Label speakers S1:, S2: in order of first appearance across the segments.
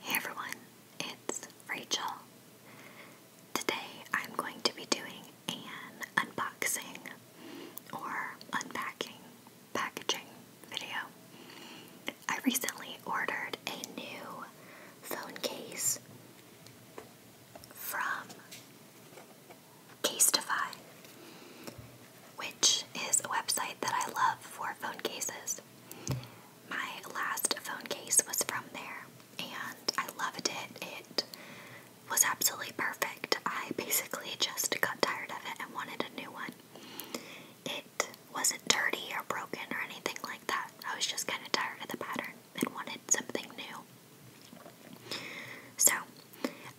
S1: Hey everyone, it's Rachel. Today I'm going to be doing an unboxing or unpacking packaging video. I recently ordered a new phone case from Casetify, which is a website that I love for phone cases my last phone case was from there and I loved it. It was absolutely perfect. I basically just got tired of it and wanted a new one. It wasn't dirty or broken or anything like that. I was just kind of tired of the pattern and wanted something new. So,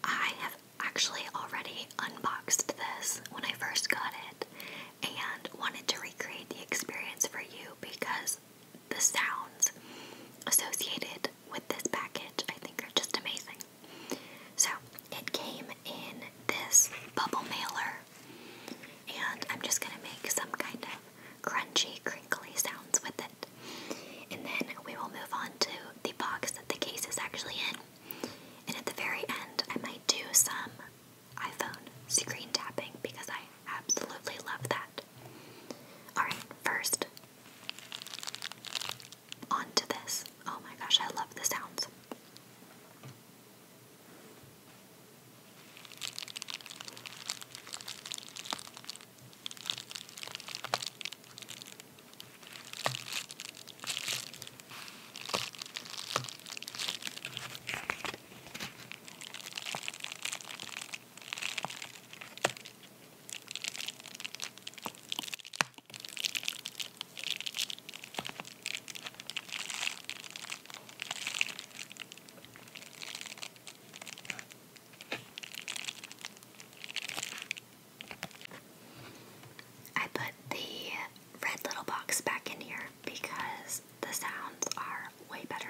S1: I have actually already unboxed this when I first got it and wanted to recreate the experience for you because the sounds associated with this package I think are just amazing. So it came in this bubble mailer and I'm just going to make some kind of crunchy crinkly sounds with it. And then we will move on to the box that the case is actually in. And at the very end, I might do some iPhone screen tapping because I absolutely love that. Alright, first, on this. Oh my gosh, I love the sounds. I put the red little box back in here because the sounds are way better.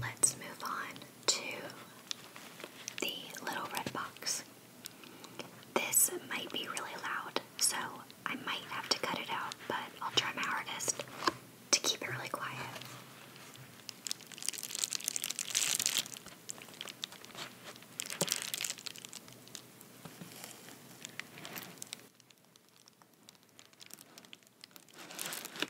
S1: let's move on to the little red box. This might be really loud, so I might have to cut it out, but I'll try my hardest to keep it really quiet.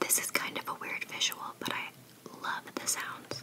S1: This is kind of a weird visual, but I Love the sounds.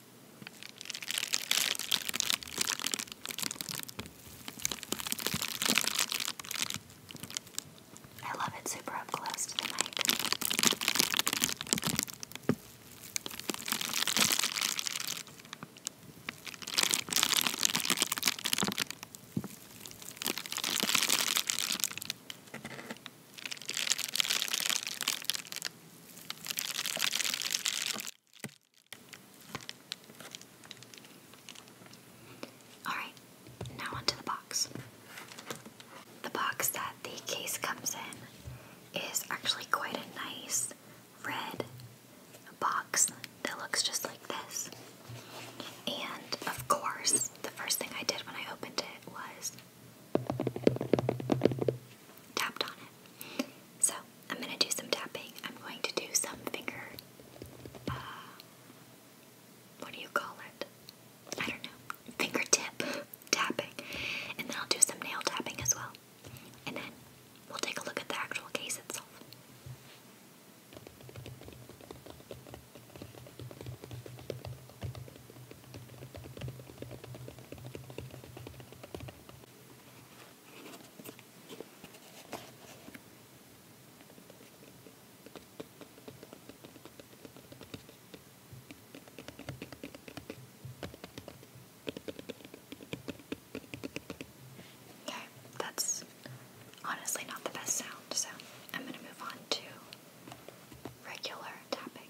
S1: I love it super up close to the mic. Alright, now onto the box. The box that the case comes in is actually quite a nice red box that looks just like this. And of course, the first thing I did when I opened it was tapped on it. So I'm going to do some tapping. I'm going to do some finger. Uh, what do you call it? I don't know. Fingertip tapping. And then I'll do some nail tapping as well. And then we'll take a look at the actual case itself. Okay, that's honestly not the best sound, so I'm going to move on to regular tapping.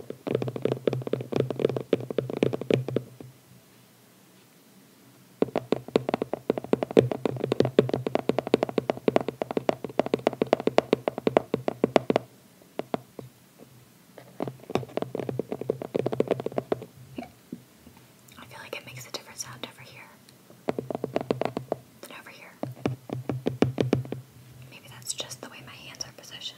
S1: I feel like it makes a different sound over here than over here. Maybe that's just the way my hands are positioned.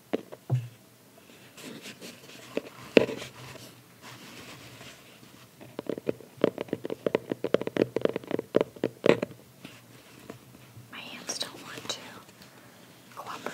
S1: My hands don't want to cooperate.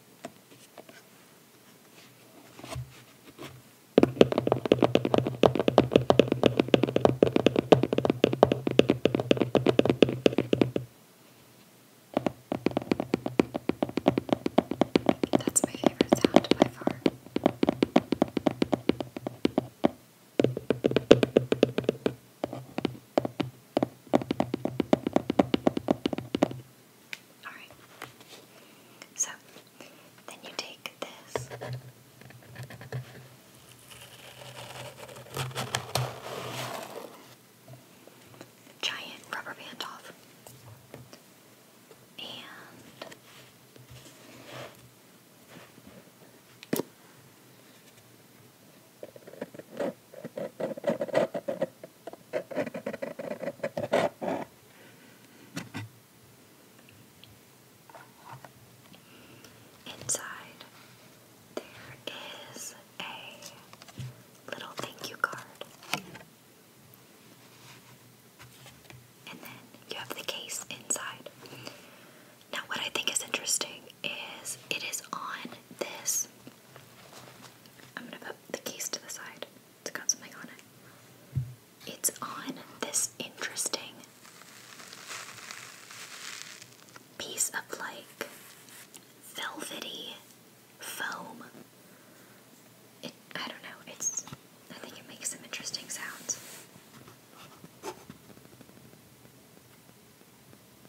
S1: That's my favorite sound by far. Alright. So, then you take this. Giant rubber band off. And Inside, there is a little thank you card. And then you have the case inside. Now, what I think is interesting is it is on this. I'm going to put the case to the side. It's got something on it. It's on this interesting piece of like velvety foam. It, I don't know. It's. I think it makes some interesting sounds.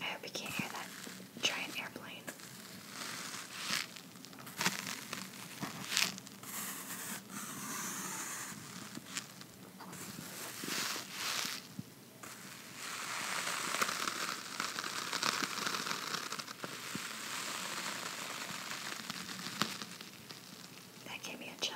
S1: I hope you can't hear that giant airplane. That gave me a chill.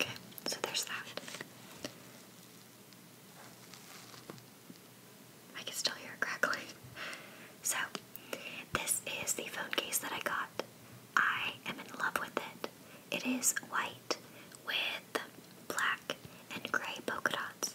S1: Okay, so there's that. I can still hear crackling. So, this is the phone case that I got. I am in love with it. It is white with black and gray polka dots.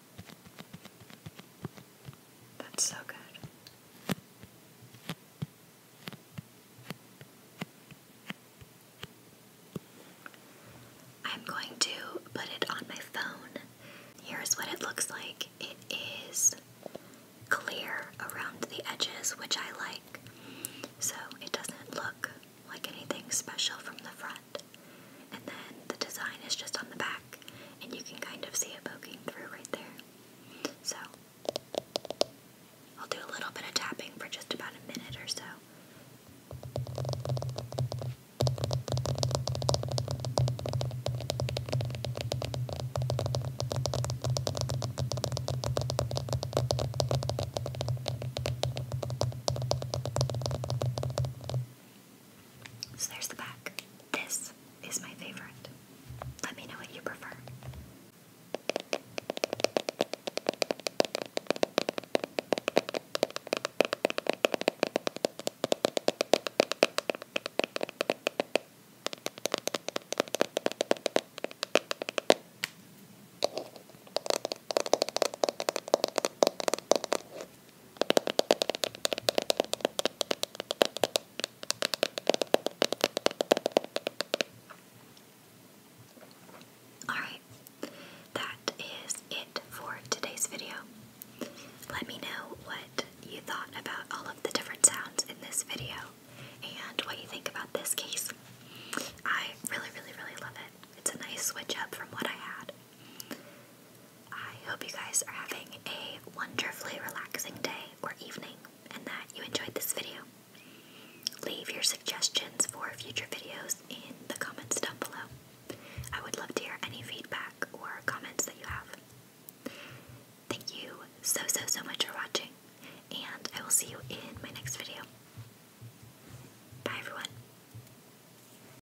S1: That's so good. I'm going to put it on my phone. Here's what it looks like it is clear around the edges, which I like, so it doesn't look like anything special from the front. And then the design is just on the back and you can kind of see it poking through right there. So, I'll do a little bit of tapping for just about a minute or so. So there's the back. This is my favorite. Let me know what you prefer. Alright, that is it for today's video. Let me know what you thought about all of the different sounds in this video and what you think about this case. I really, really, really love it. It's a nice switch up from what I had. I hope you guys are having a wonderfully relaxing day or evening and that you enjoyed this video. Leave your suggestions for future videos in the comments down below. I would love to hear any feedback or comments that you have. Thank you so, so, so much for watching, and I will see you in my next video. Bye, everyone.